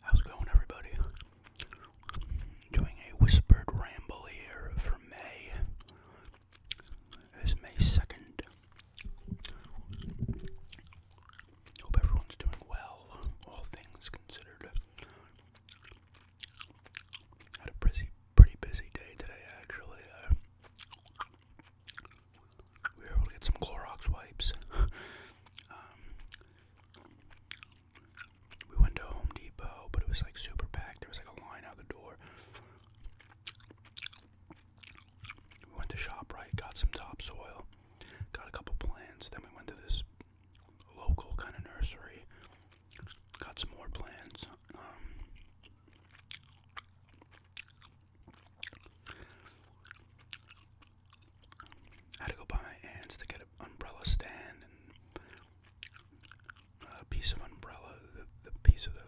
How's it going, everybody? Doing a whispered ramble here for May. It's May 2nd. Hope everyone's doing well, all things considered. Had a busy, pretty busy day today, actually. Uh, we were able to get some Clorox wipes. Um, we went to Home Depot, but it was like super packed. There was like a line out the door. We went to ShopRite, got some topsoil, got a couple plants. Then we went to this local kind of nursery Got some more plans. Um, had to go buy my aunts to get an umbrella stand and a piece of umbrella. The, piece of the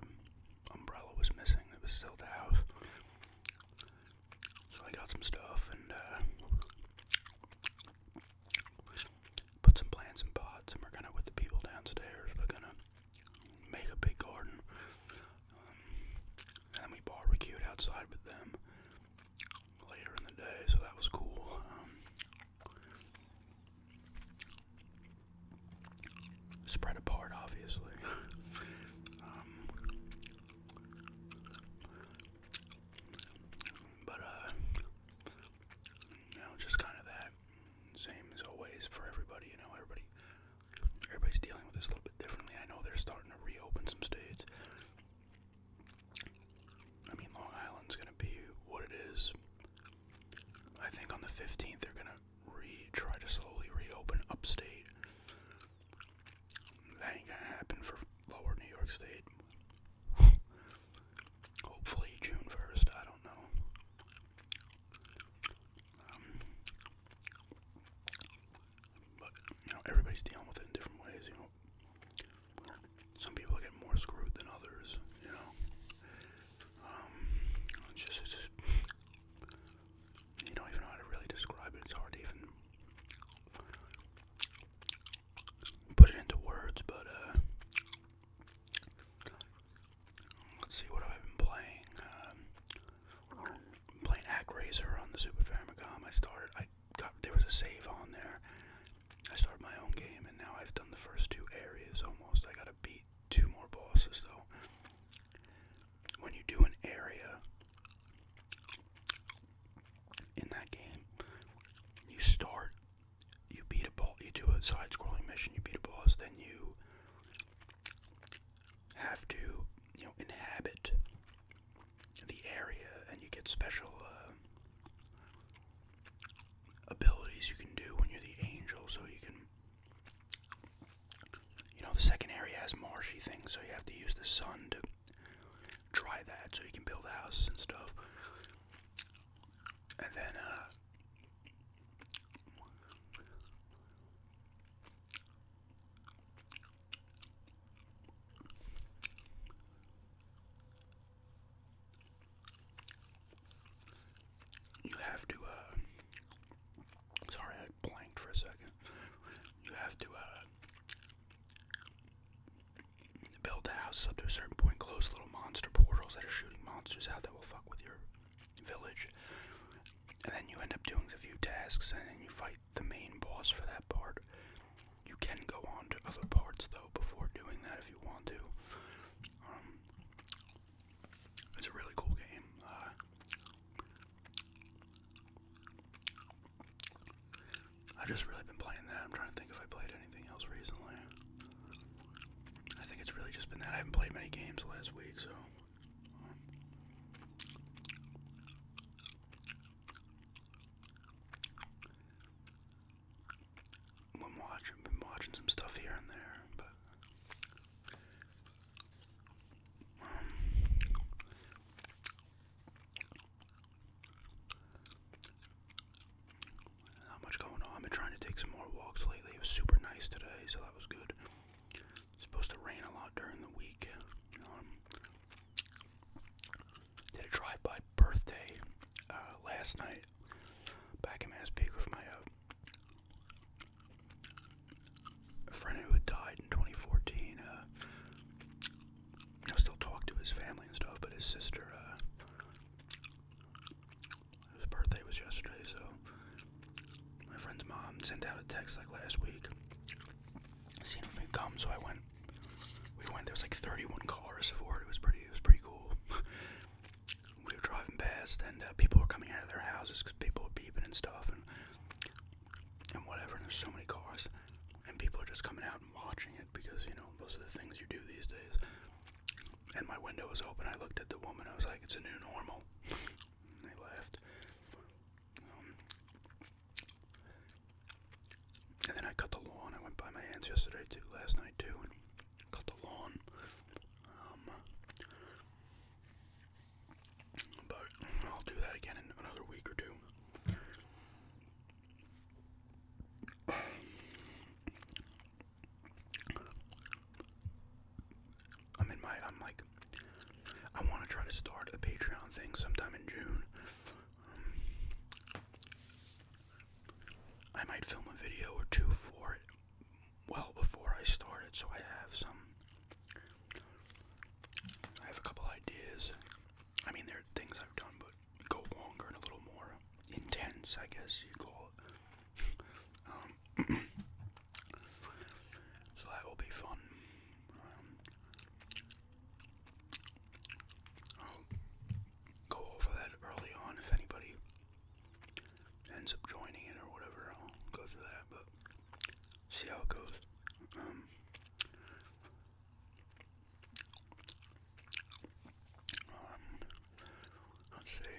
umbrella was missing. It was still the house. So I got some stuff and uh, put some plants in pots, and we're gonna with the people downstairs. We're gonna make a big garden, um, and then we barbecued outside with them later in the day, so that was cool. Um, spread apart, obviously. Um, but uh, you know, just kind of that same as always for everybody. You know, everybody, everybody's dealing with this a little bit differently. I know they're starting to reopen some states. I mean, Long Island's gonna be what it is. I think on the 15th they're gonna re try to slowly reopen upstate. That ain't gonna happen for lower New York State. Hopefully June 1st, I don't know. Um, but, you know, everybody's dealing with it in different ways, you know. Some people get more screwed than others, you know. Um, it's just, it's just, you don't even know how to really describe it. It's hard to even put it into words, but, uh, Let's see what I've been playing. Um, I'm on the Super Famicom. I started. I got there was a save on there. I started my own game, and now I've done the first two areas almost. I gotta beat two more bosses though. When you do an area in that game, you start you beat a boss, you do a side-scrolling mission, you beat a boss, then you have to, you know, inhabit the area, and you get special uh, abilities you can do when you're the angel, so you can, you know, the second area has marshy things, so you have to use the sun to dry that, so you can build houses and stuff and then uh you have to uh, sorry I blanked for a second you have to uh, build the house up to a certain point, close little monster portals that are shooting monsters out that will fuck with your village. And then you end up doing a few tasks and you fight the main boss for that part. You can go on to other parts though before doing that if you want to. Um, it's a really cool game. Uh, I have just really been playing that. I'm trying to think if I played anything else recently. I think it's really just been that. I haven't played many games last week, so. I'm watching, been watching some stuff here and there, but. Um, not much going on. been trying to take some more walks lately. It was super nice today, so that was good. supposed to rain a lot during the week. Um, did a drive-by birthday uh, last night back in Mass with my uh, friend who had died in 2014. I still talk to his family and stuff, but his sister, uh, his birthday was yesterday, so my friend's mom sent out a text like last week, seeing if we'd come. So I went. We went. There was like 31 cars for it. It was pretty. It was pretty cool. we were driving past, and uh, people were coming out of their houses because people were beeping and stuff, and and whatever. And there's so many cars, and people are just coming out out and watching it because, you know, those are the things you do these days. And my window was open. I looked at the woman. I was like, it's a new normal. and they laughed. Um, and then I cut the lawn. I went by my aunt's yesterday, too, last night, too, and cut the lawn. Um, but I'll do that again in another week or two. I'm in my, I'm like, I want to try to start a Patreon thing sometime in June. Um, I might film a video or two for it well before I start it, so I have some, I have a couple ideas. I mean, there are things I've done, but go longer and a little more intense, I guess you call it. Um, so that will be fun. Um, I'll go over that early on if anybody ends up joining it or whatever. I'll go through that, but see how it goes. Um, um, let's see.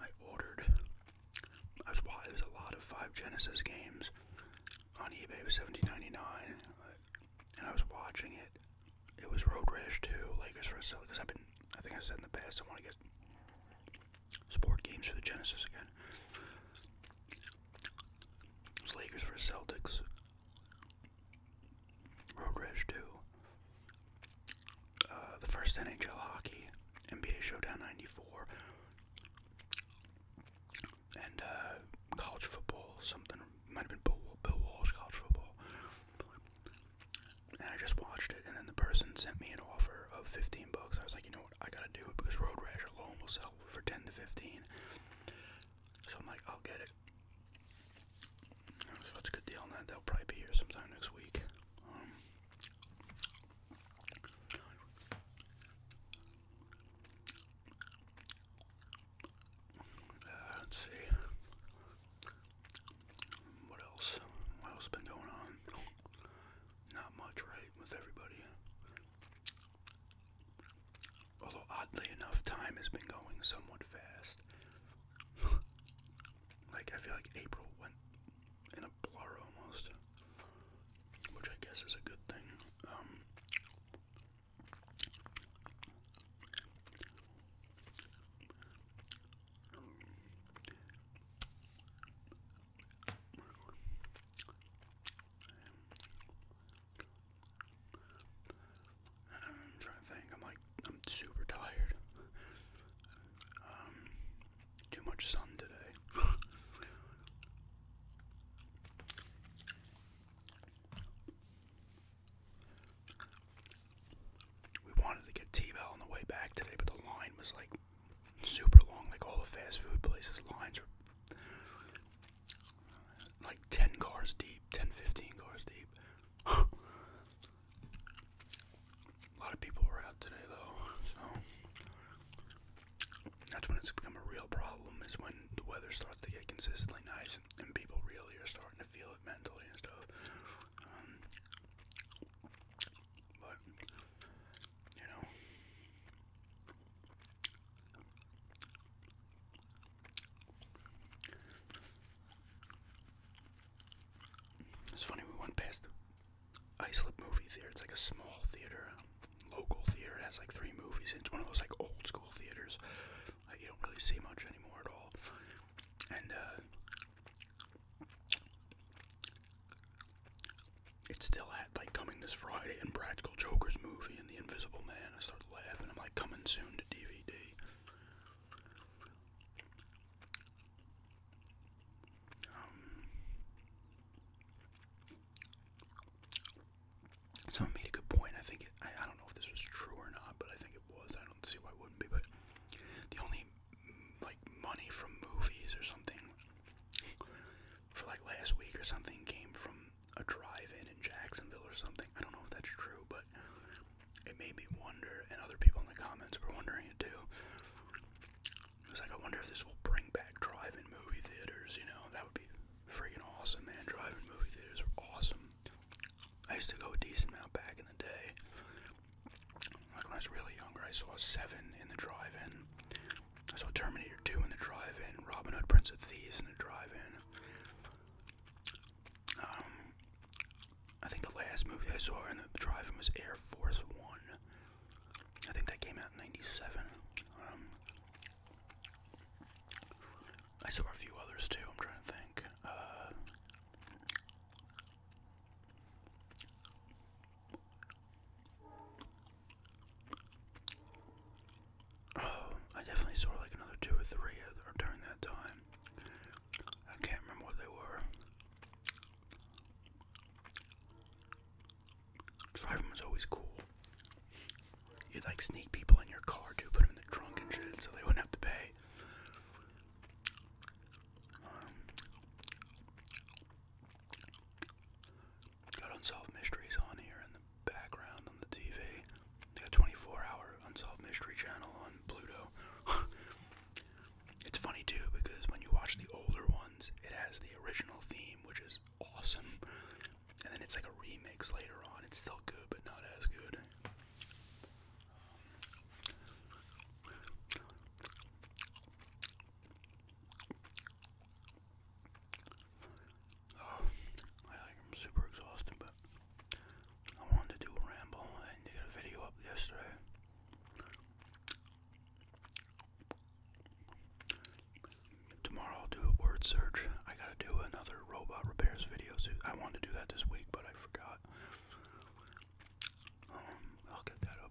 I ordered. I was watching. There's a lot of Five Genesis games on eBay. It seventeen ninety nine, uh, and I was watching it. It was Road Rash Two, Lakers vs. Celtics. I've been. I think I said in the past I want to get sport games for the Genesis again. Lakers versus Celtics. Road Rash uh, the first NHL hockey, NBA Showdown 94. And uh, college football, something, might have been Bill Walsh college football. And I just watched it, and then the person sent me an offer of 15 bucks. I was like, you know road. I gotta do it because road rash alone will sell for 10 to 15. So I'm like, I'll get it. it's a good deal on They'll probably be here sometime next week. Um, uh, let's see. What else? What else been going on? Not much, right? With everybody. Although, oddly enough, time has been going somewhat fast. like, I feel like April went in a blur almost, which I guess is a good thing. Um, I'm trying to think. I'm like, I'm super tired. Um, too much sun today. we wanted to get T-Bell on the way back today, but the line was like super long, like all the fast food places, lines are like 10 cars deep, 10, 15 cars deep. a lot of people were out today though, so that's when it's become a real problem is when the weather starts to get consistently nice and people really are starting to feel it mentally and stuff. Um, but it's funny we went past the Islip movie theater. It's like a small theater, local theater. It has like three movies. It's one of those like old school theaters. Uh, you don't really see much anymore at all. And uh, it's still at like coming this Friday and Practical Joker's movie and The Invisible Man. I start laughing. I'm like coming soon to DVD. Um, someone made a good point. I think I don't know if this was true or not, but I think it was. I don't see why it wouldn't be. But the only like money from movies or something for like last week or something came from a drive-in in Jacksonville or something. I don't know if that's true, but it made me wonder, and other people in the comments were wondering it too. It like, I wonder if this will bring back drive-in movie theaters. You know, that would be freaking awesome, man. Drive-in movie theaters are awesome. I used to go a decent amount back in the day. Like when I was really younger, I saw Seven in the drive-in. So Terminator 2 in the drive-in, Robin Hood, Prince of Thieves in the drive-in. Um, I think the last movie I saw in the drive-in was Air Force One. I think that came out in '97. Um, I saw a few others too. I'm trying to think. Uh, Oh, I definitely saw like another two or three during that time. I can't remember what they were. Driving was always cool. You'd like sneak people in your car too, put them in the trunk and shit so they wouldn't have to pay. Um, Got Unsolved Mysteries on here in the background on the TV. got 24 hour Unsolved Mystery channel on Pluto. it's funny too because when you watch the older ones, it has the original theme, which is awesome. And then it's like a remix later on. It's still good, but not as good. Oh, I am super exhausted, but I wanted to do a ramble. I did a video up yesterday. Tomorrow I'll do a word search. I gotta do another robot repairs video. So I wanted to do that this week, but I forgot. Um, I'll get that up.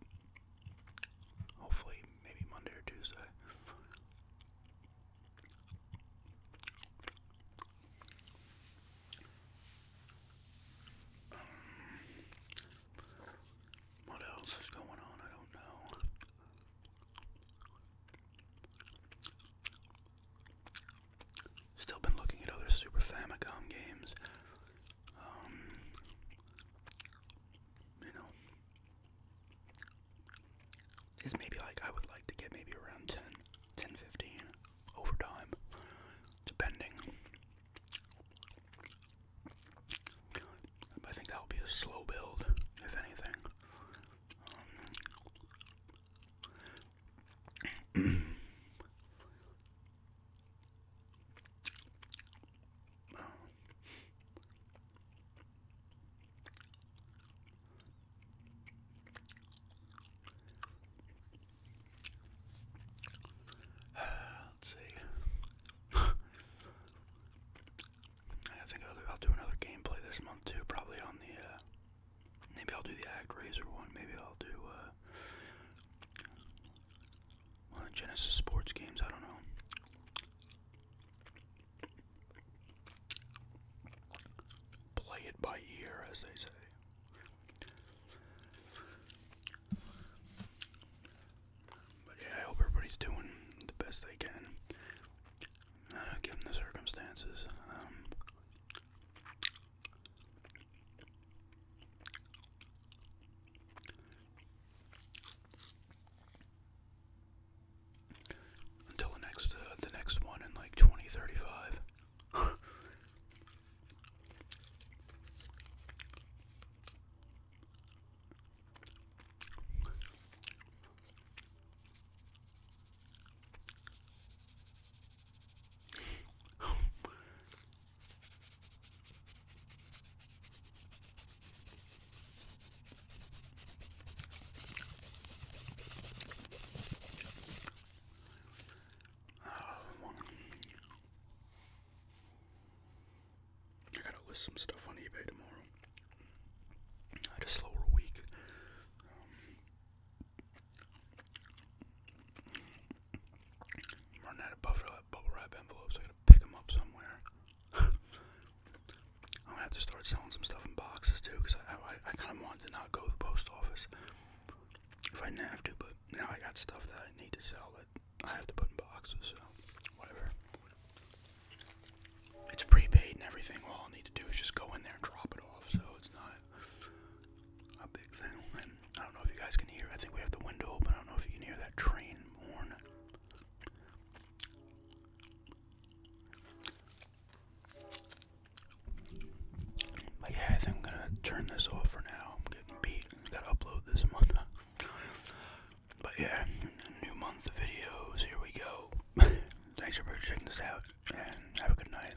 Hopefully, maybe Monday or Tuesday. Um, what else is going on? I don't know. Still been looking at other Super Famicom games. Um, you know, is maybe like I would like to get maybe around 10, 10 15 over time, depending. I think that'll be a slow build, if anything. Um, Let's see. I think I'll, do another gameplay this month too, probably on the. Uh, maybe I'll do the ActRaiser one. Maybe I'll do. Uh, well, Genesis sports games, I don't know. Play it by ear, as they say. But yeah, I hope everybody's doing the best they can, uh, given the circumstances. Um, until the next uh, the next one in like 2035. I gotta list some stuff on eBay tomorrow. I had a week. Um, I'm running out of bubble wrap, bubble wrap envelopes. I gotta pick them up somewhere. I'm gonna have to start selling some stuff in boxes too, cause I I, I kind of wanted to not go to the post office if I didn't have to, but now I got stuff that I need to sell that I have to put in boxes. So whatever. It's prepaid and everything. All I need to do is just go in there and drop it off. So it's not a big thing. I don't know if you guys can hear. I think we have the window open. I don't know if you can hear that train horn. But yeah, I am gonna turn this off for now. I'm getting beat. Gotta upload this month. but yeah, new month videos. Here we go. Thanks for checking this out, and have a good night.